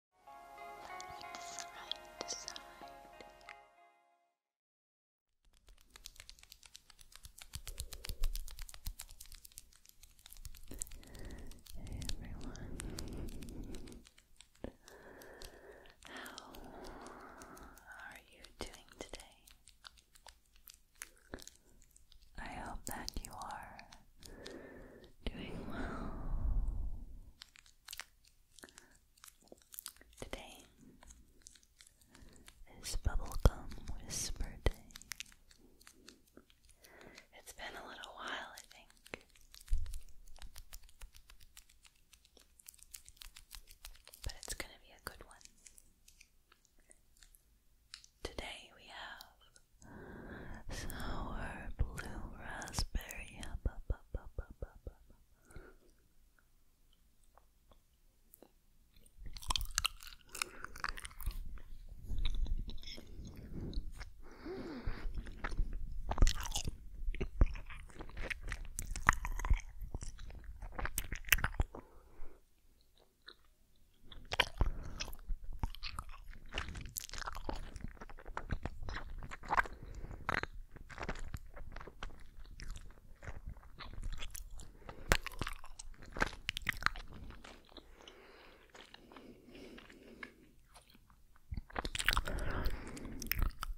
Like Hey everyone. How are you doing today? I hope that you are doing well Today is Bubblegum Whisper Day. It's been a little while, I think. But it's going to be a good one. Today we have sour blue raspberry. Up,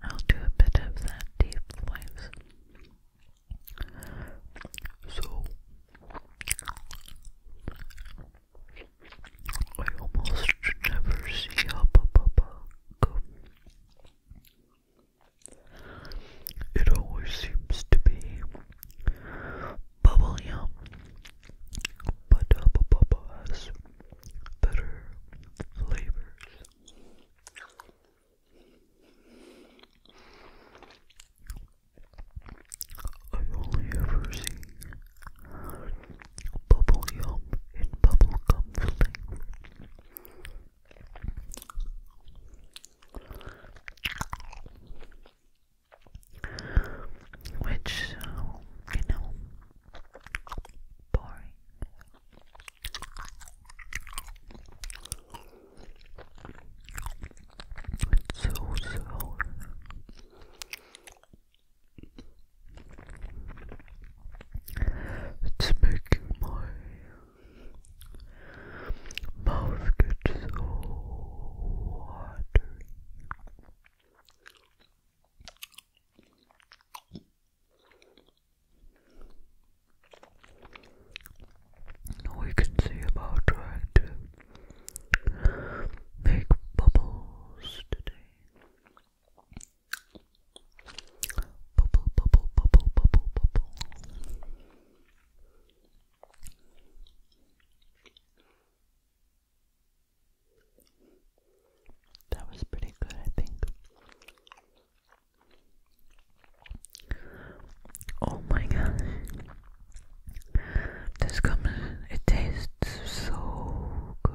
I'll do a bit of that deep voice. So I almost never see a Bubba It always seems to be bubble yum, but Hubba has better flavors. I only ever see bubble yum in bubblegum flavor. Which, uh, you know, boring. It's so it's making my mouth get so hot. We can see about trying to make bubbles today. That was pretty good, I think. Oh my god. This comes, it tastes so good.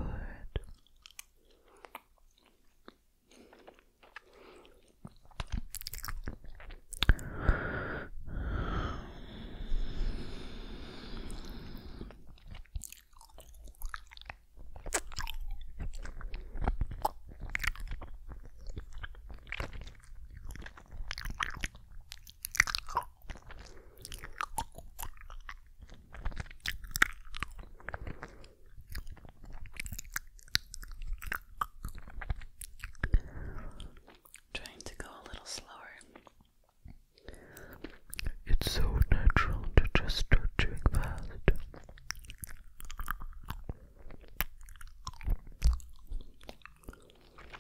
Trying to go a little slower. It's so natural to just start doing fast.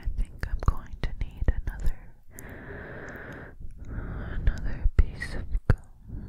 I think I'm going to need another another piece of gum.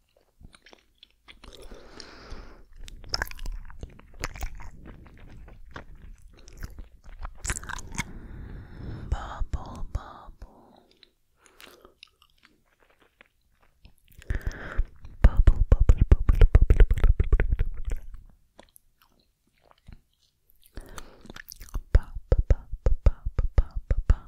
Bubble, bubble. Bubble, bubble, bubble, bubble, bubble, bubble, bubble. Pop, pop, pop, pop, pop, pop, pop, pop.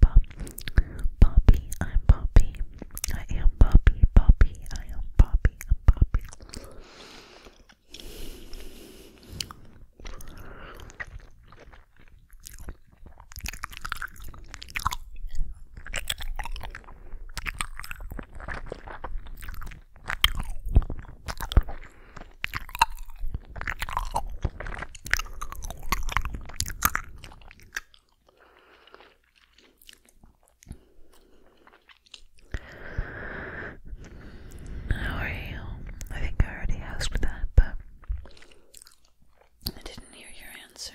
Papa. Poppy, I'm Poppy. I am Poppy, Poppy. I am Poppy, i how are you? I think I already asked that, but I didn't hear your answer.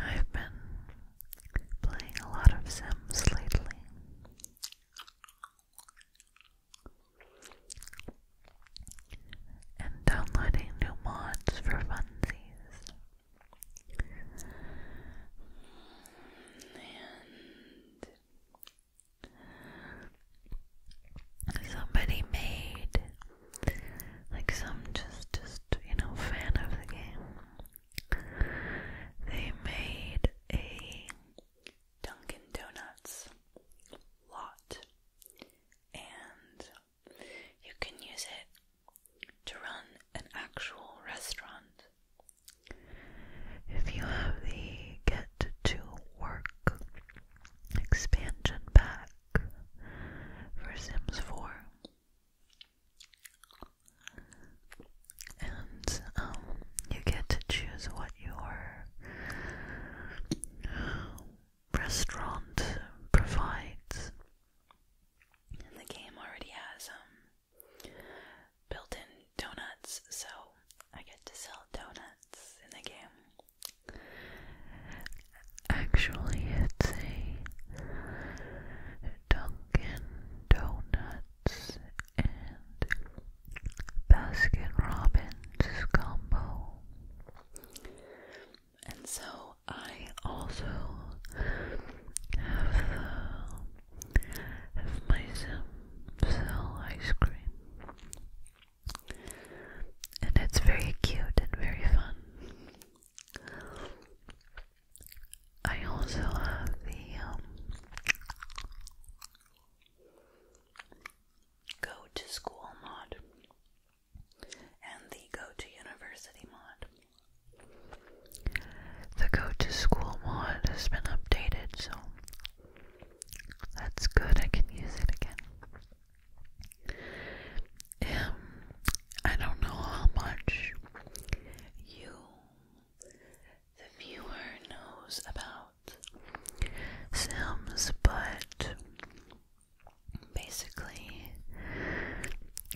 I've been playing a lot of Sims lately. And downloading new mods for funsies. And somebody made like some just just you know fan of the game. They made a Dunkin' Donuts lot and you can use it to run an actual restaurant. If you have the get to work expansion pack for Sims 4, and um, you get to choose what your restaurant provides and the game already has um, built-in donuts, so I get to sell donuts in the game. Actually, it's a Dunkin' Donuts and Basket Robbins combo and so I also have, uh, have my Sim ice cream. And it's very cute and very fun. I also have the um, go to school mod and the Go to University mod. The Go to School mod has been updated, so that's good. I can use it again. Um, I don't know how much you, the viewer, knows about Sims, but Basically,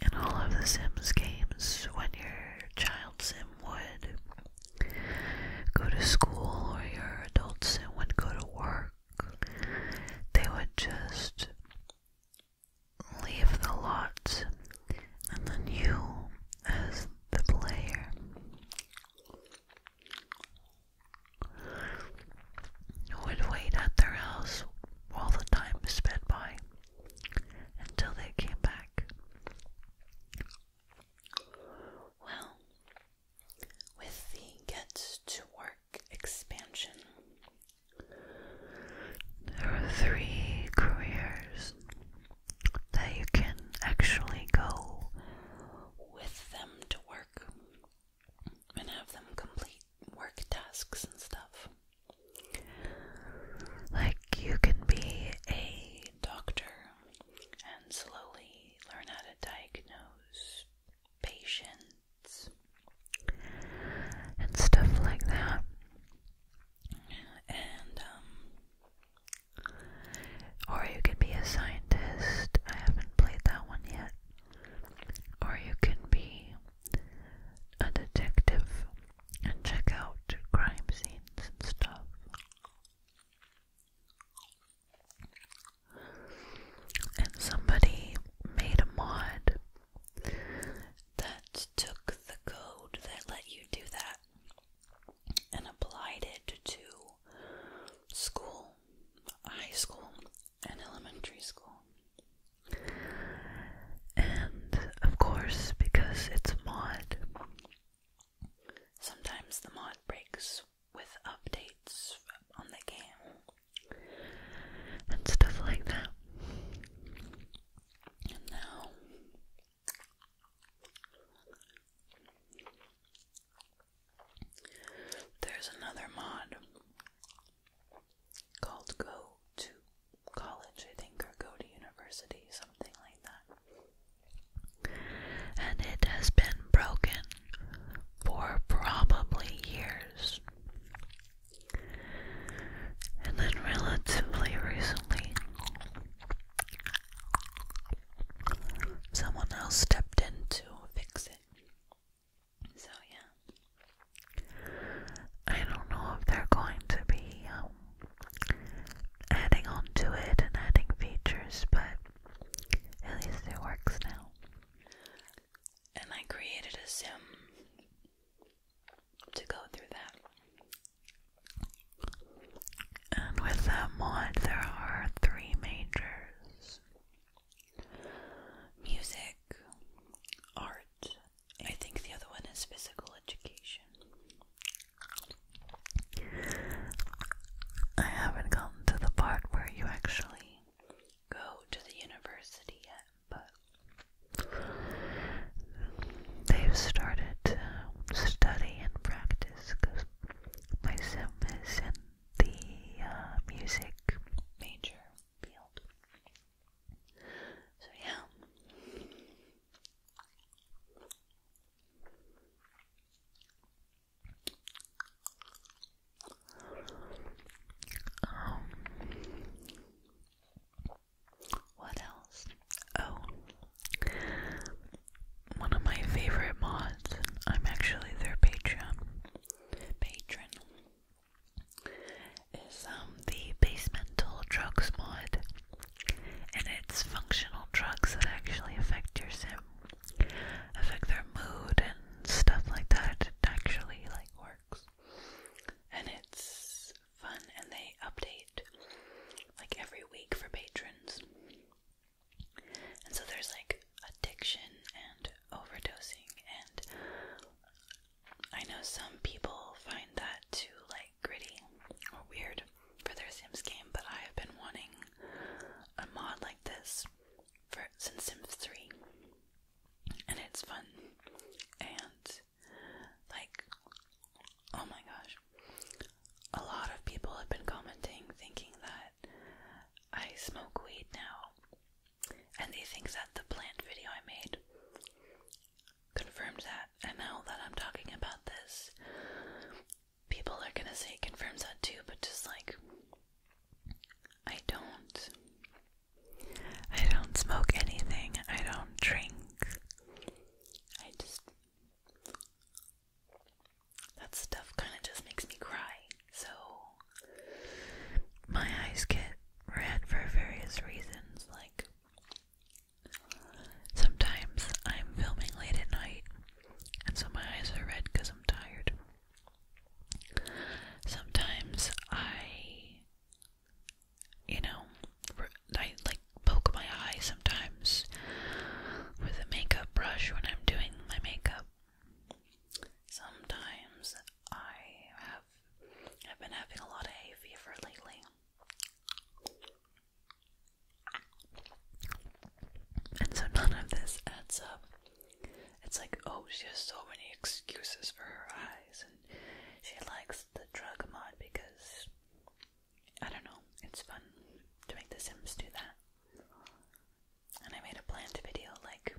in all of the Sims games, when your child Sim would go to school or your adult Sim would go to work, they would just leave the lots, and then you, as the player, would wait at their house while the time sped by until they came back. Well, with the Get to Work expansion, there are three careers that you can actually go with them to work and have them complete work tasks and stuff. Like, you can be a doctor and slowly learn how to diagnose patients and stuff like that. And, um, or you can be a scientist. I haven't played that one yet. Or you can be a detective and check out crime scenes and stuff. And somebody made a mod that took the code that let you do that and applied it to school, high school, in elementary school. And of course, because it's mod, sometimes the mod breaks with updates on the game and stuff like that. And now there's another mod called Go to College, I think, or Go to University, something like that. And it has been broken for probably years. And then, relatively recently, someone else stepped in to fix it. So, yeah. I don't know if they're going to be um, adding on it and adding features, but at least it works now. And I created a sim to go through that. And with that mod, there are three majors music, art. I think the other one is physical education. I haven't gotten to the part where you actually go to the university yet, but they've started study and practice my sim in the uh, music major field. So, yeah. Um, what else? Oh, one of my favorite mods. I'm actually their patron. Patron is um the Basemental Drugs mod, and it's functional drugs that actually affect your sim, affect their mood and stuff like that. It actually like works, and it's fun. And they update like every week for patrons, and so there's like addiction and overdosing and I know some people find that too like gritty or weird for their Sims game, but I have been wanting a mod like this for since Sims 3. And it's fun and like oh my gosh. A lot of people have been commenting thinking that I smoke weed now and they think that the plant video I made confirmed that. And now that I'm talking about this, people are gonna say it confirms that too, but just like, I don't. I don't smoke anything, I don't drink. I just. That stuff kind of just makes me cry. So my eyes get red for various reasons, like sometimes I'm filming late at night, and so my eyes are red because I'm tired. Sometimes I, you know, I like poke my eyes sometimes with a makeup brush when I'm doing my makeup. Sometimes I have I've been having a lot of hay fever lately. And so none of this adds up. It's like, oh, she has so many excuses for her eyes, and she likes the drug mod because I don't know, it's fun to make The Sims do that and I made a planned video like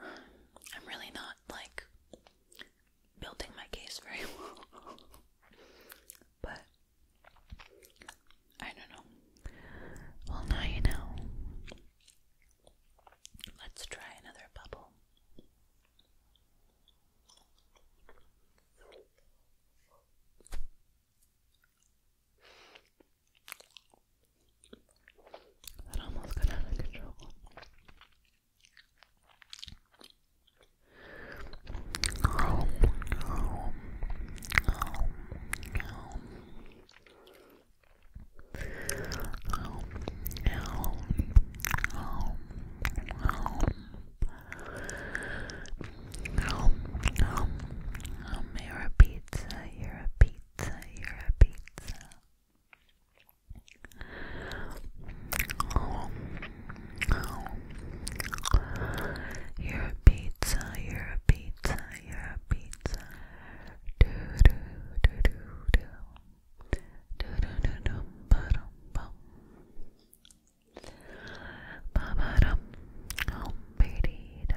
I'm really not like building my case very well. but I don't know. Well, now you know. Let's try another bubble. That almost got out of control. Oh, oh, oh, oh. Oh, oh, oh, oh. Oh, oh, oh, you're a pizza, you're a pizza pizza, you're a pizza. You're a pizza, you're a pizza, Do do do do do. Do do do do ba dum bum. Ba ba dum. Oh, baby da.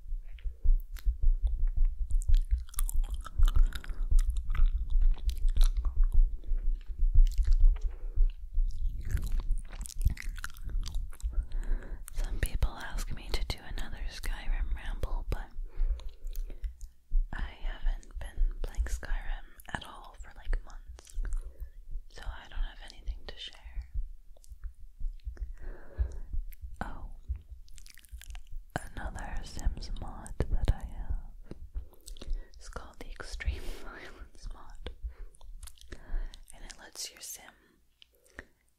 Some people ask me to do another Skyrim ramble, but I haven't been playing Skyrim at all for like months, so I don't have anything to share. Oh, Another Sims mod that I have is called the Extreme Violence mod, and it lets your Sim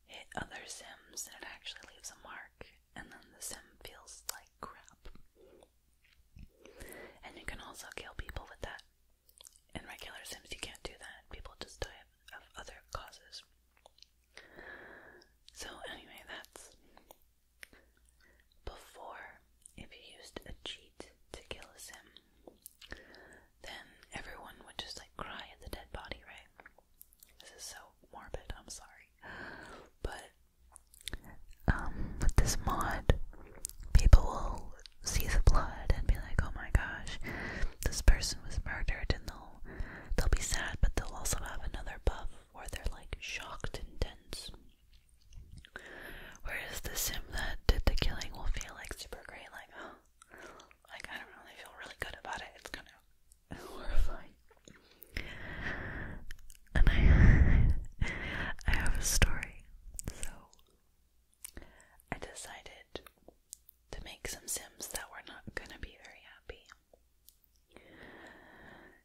hit other Sims, and it actually leaves a mark, and then the Sim feels like crap. And you can also kill people with that. In regular Sims, you can't do that; people just die of other causes. So, anyway, that's before if you used a cheat to kill a sim, then everyone would just like cry at the dead body, right? This is so morbid, I'm sorry. But um, with this mod, people will see the blood and be like, oh my gosh, this person was murdered in the They'll be sad, but they'll also have another buff where they're like shocked and tense. Whereas the sim that did the killing will feel like super great, like, like I don't know, feel really good about it. It's kind of horrifying. And I, I have a story, so I decided to make some sims that were not gonna be very happy.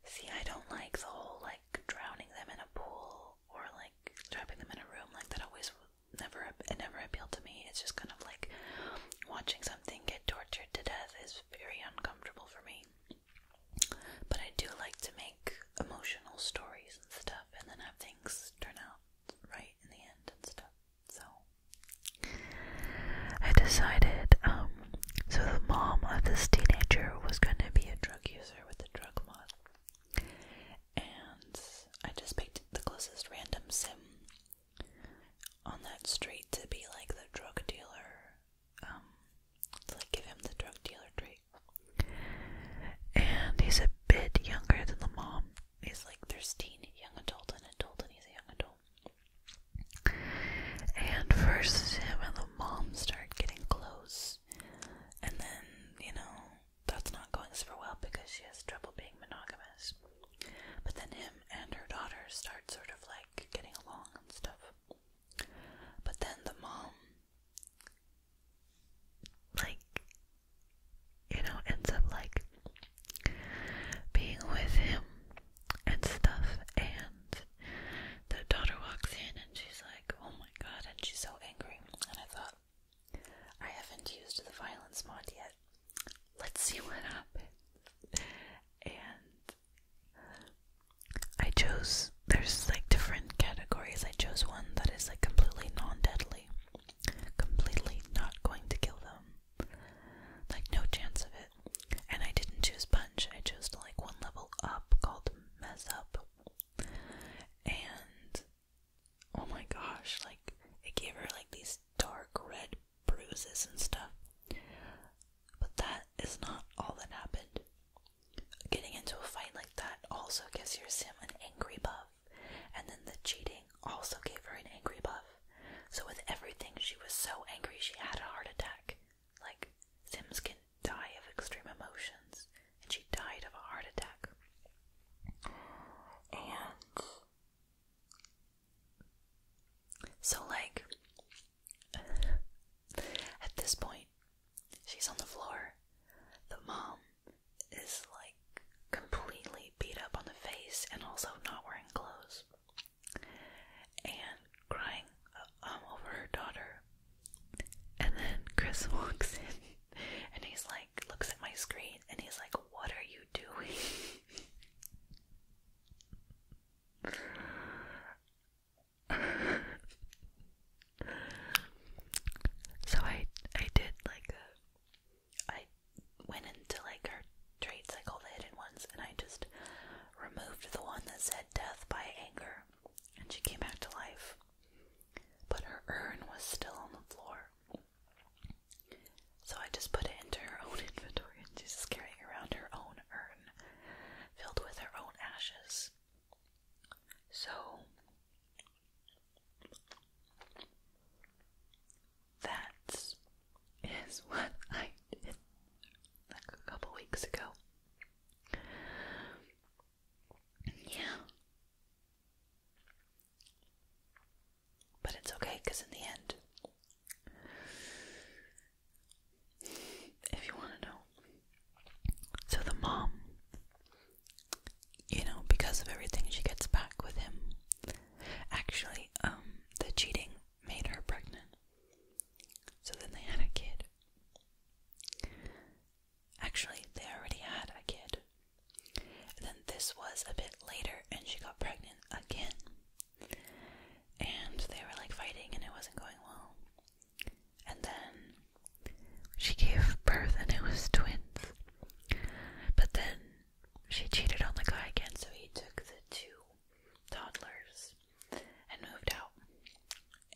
See, I don't like the whole like drowning them in a pool or like trapping them in a room. Like that always never it never appealed to me. It's just kind of like watching something get tortured to death is very uncomfortable for me. But I do like to make emotional stories and stuff, and then have things turn out right in the end and stuff. So I decided, um, so the mom of this teenager was going to be a drug user with a drug mod. And I just picked the closest random sim on that street to be like the drug dealer, um, like give him the drug dealer trait. And he's a bit younger than the mom. He's like 13, young adult and adult, and he's a young adult. And first him and the mom start getting close. And then, you know, that's not going super well because she has trouble being monogamous. But then him and her daughter start sort of like getting along and stuff. But then the mom, like, you know, ends up like being with him and stuff. And the daughter walks in and she's like, Oh my god, and she's so angry. And I thought, I haven't used the violence mod yet. Let's see what happens. And I chose, there's like different categories. I chose one that is like completely non deadly, completely not going to kill them. Like, no chance of it. And I didn't choose punch, I chose like one level up called mess up. And oh my gosh, like, it gave her like these dark red bruises and stuff. But that is not all that happened. Getting into a fight like that also gives your sim an angry buff, and then the cheating also gave her an angry buff. So with everything, she was so angry she had a heart attack. Like, Sims can die of extreme emotions, and she died of a heart attack. And so, like, at this point, she's on the floor. The mom is like completely beat up on the face and also not wearing clothes and crying uh, um, over her daughter. And then Chris walks in and he's like, looks at my screen and he's like, What are you doing? so I I did like a I went into like her traits, like all the hidden ones, and I just removed the one that said death by anger, and she came back to life. But her urn was still on the floor. So I just put it into her own inventory, and she's carrying around her own urn filled with her own ashes. So that is is what I did like a couple weeks ago. Yeah. But it's okay because in the end, if you want to know, so the mom, you know, because of everything she gets back with him, Actually, um, the cheating made her pregnant. So then they had a kid. Actually, they already had a kid. then this was a bit later, and she got pregnant again. And they were like fighting, and it wasn't going well. And then she gave birth, and it was twins. But then she cheated on the guy again, so he took the two toddlers and moved out.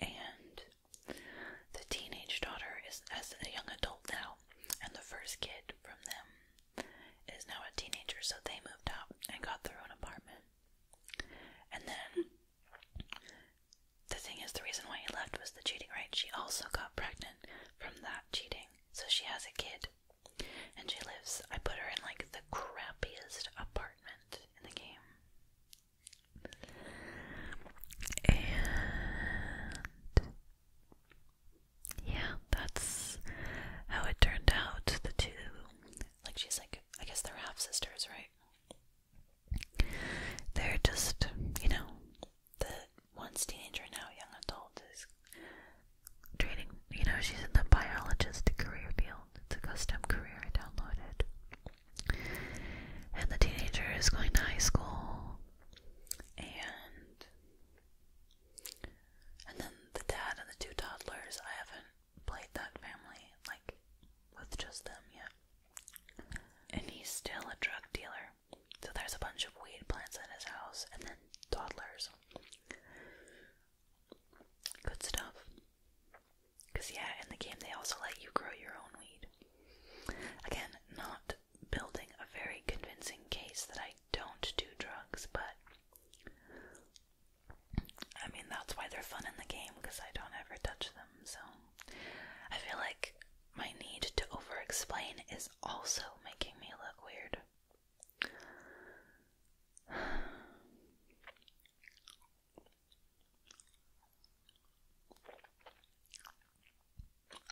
And the teenage daughter is as a young adult now, and the first kid from them is now a teenager, so they moved out and got their own apartment. And then the thing is, the reason why he left was the cheating, right? She also got pregnant from that cheating, so she has a kid and she lives, I put her in like the crappiest apartment in the game. And yeah, that's how it turned out. The two, like, she's like, I guess they're half sisters, right? They're just, you know, the once teenager, now young adult, is training. You know, she's in the biologist career field. It's a custom career I downloaded. And the teenager is going to high school, and and then the dad and the two toddlers. I haven't played that family like with just them yet. And he's still a drug dealer. So there's a bunch of weed plants in his house, and then toddlers. Good stuff. Because, yeah, in the game they also let you grow your own weed. Again, not building a very convincing case that I don't do drugs, but I mean, that's why they're fun in the game because I don't ever touch them, so I feel like my need to over explain is also making me look weird.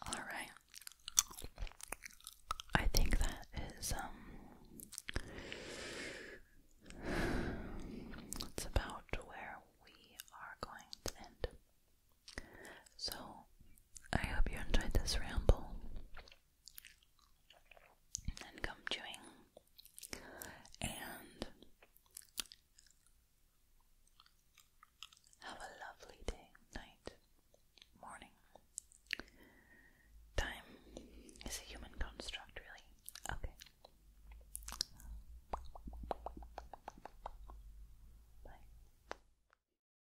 All right. I think that is um about where we are going to end. So I hope you enjoyed this ramble and gum chewing and have a lovely day, night, morning. Time is a human construct, really. Okay. Bye.